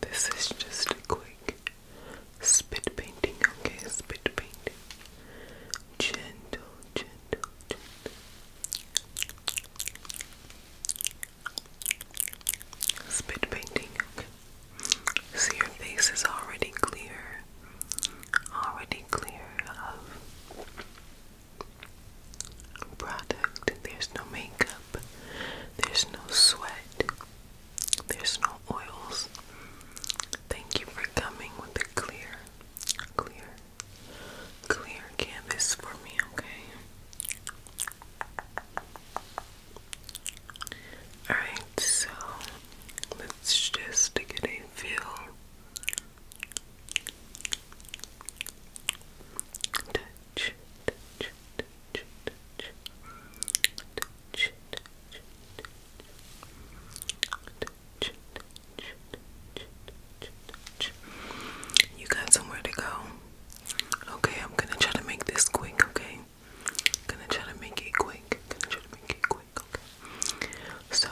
This is just a quick spit painting, okay? Spit painting. Gentle, gentle, gentle. Spit painting, okay? So your face is already clear, already clear of product. There's no makeup. There's no sweat. There's no oils. Thank you for coming with a clear, clear, clear canvas for me, okay? Alright, so let's just get a feel you got somewhere to go. Okay, I'm gonna try to make this quick, okay? gonna try to make it quick. gonna try to make it quick, okay? So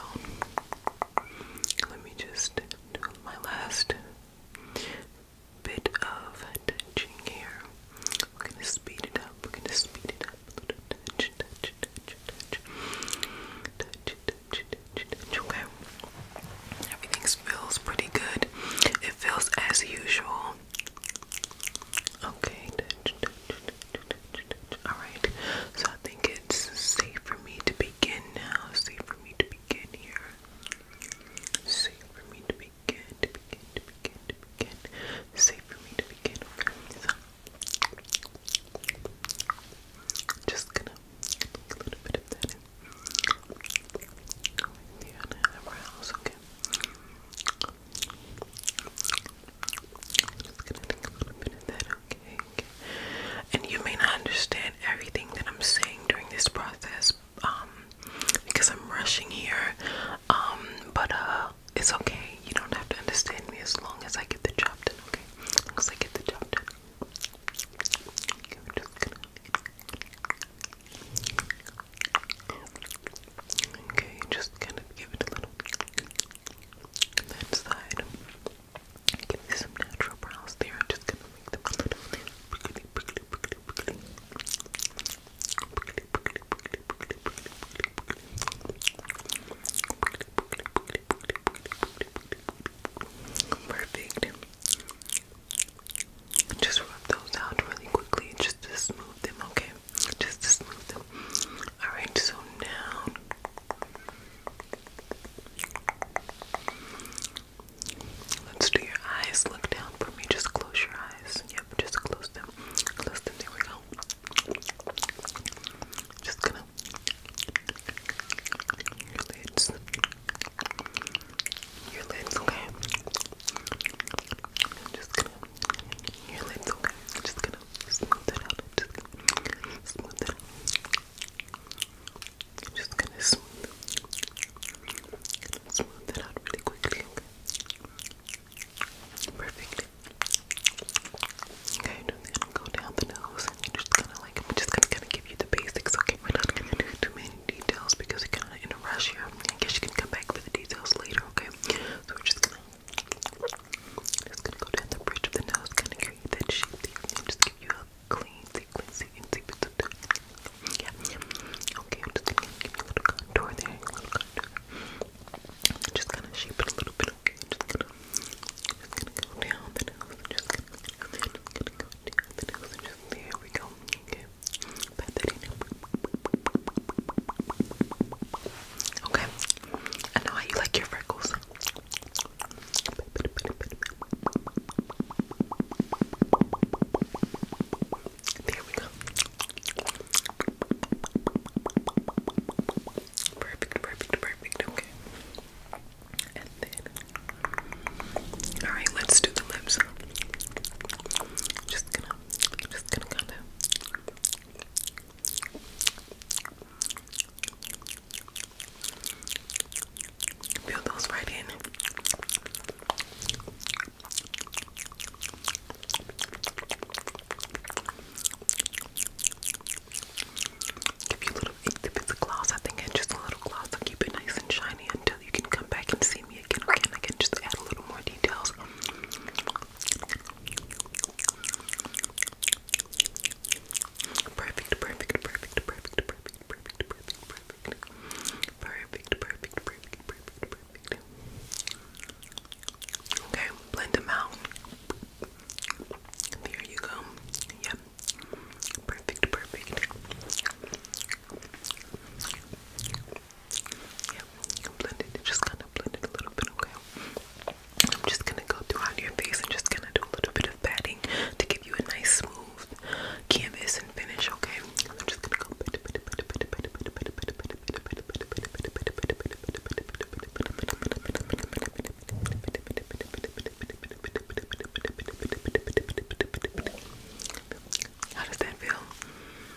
let me just do my last bit of touching here. We're gonna speed it up. We're gonna speed it up Okay. Everything feels pretty good. It feels as usual. Okay. All right. So I think it's safe for me to begin now. Safe for me to begin here. Safe for me to begin, to begin, to begin, to begin. Safe for me to begin. so just gonna a little bit of that in. With the eyebrows, okay. I'm And you may not understand everything that I'm saying during this process, um, because I'm rushing here. Um, but uh, it's okay. You don't have to understand me as long as I get the job done, okay? As I get the job done. Okay, just kind of give it a little. That side. Give me some natural brows there. I'm just gonna make them a little Perfect. Just rub those out really quickly, just to smooth them, okay? Just to smooth them. Alright, so now Let's do your eyes. Look down for me. Just close your eyes. Yep, just close them. Close them. There we go. Just gonna your lids. Your lids, okay. I'm just gonna your lids, okay. Just gonna smooth it out, just smooth it out. just gonna smooth, going smooth it out really quickly. Okay? Okay, and then go down the nose, just gonna like, I'm just gonna kind of give you the basics. Okay, we're not gonna do too many details because we're kind of in a rush here. guess you can come back for the details later. Okay, so we're just gonna just gonna go down the bridge of the nose, kind of create that shape just give you a clean sequence. You can see yeah, Okay, I'm just gonna give you a little contour there, a little contour. just kind of shape it a little bit. Okay, just gonna, go down the nose, just gonna, go down the nose, just there we go. Okay, pat that in. Okay. I know how you like your freckles. There we go. Perfect, perfect, perfect. Okay. all right, let's do the lips. Just gonna, just gonna kind of Feel those right in. Give you a little, if it's gloss, I think I just a little gloss to keep it nice and shiny until you can come back and see me again. Okay, I can just add a little more details. Perfect, perfect, perfect, perfect, perfect, perfect, perfect, perfect, perfect, perfect, perfect, perfect, Okay, blend them out. There you go. Yep. Perfect, perfect. Yep, blend it. Just kind of blend it a little bit, okay? I'm just gonna go throughout your face and just gonna do a little bit of patting to give you a nice smooth canvas and finish, okay? how does that feel?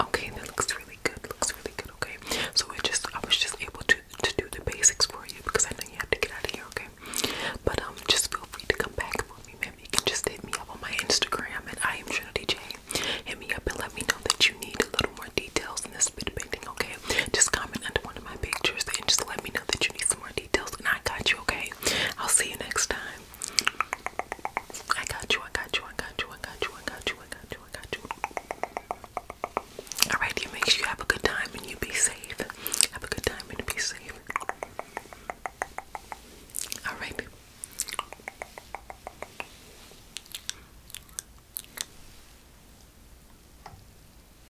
Okay, that looks really good. Looks really good. Okay, so I just I was just able to to do the basics for you because I know you have to get out of here. Okay, but um, just feel free to come back for me, Maybe You can just hit me up on my Instagram and I am Trinity J. Hit me up and let me know that you need a little more details in this bit painting. Okay, just comment under one of my pictures and just let me know that you need some more details, and I got you, okay? I'll see you next time. I got you, I got you, I got you, I got you, I got you, I got you, I got you. Alright, you make sure you have a good time and you be safe. Have a good time and be safe. Alright.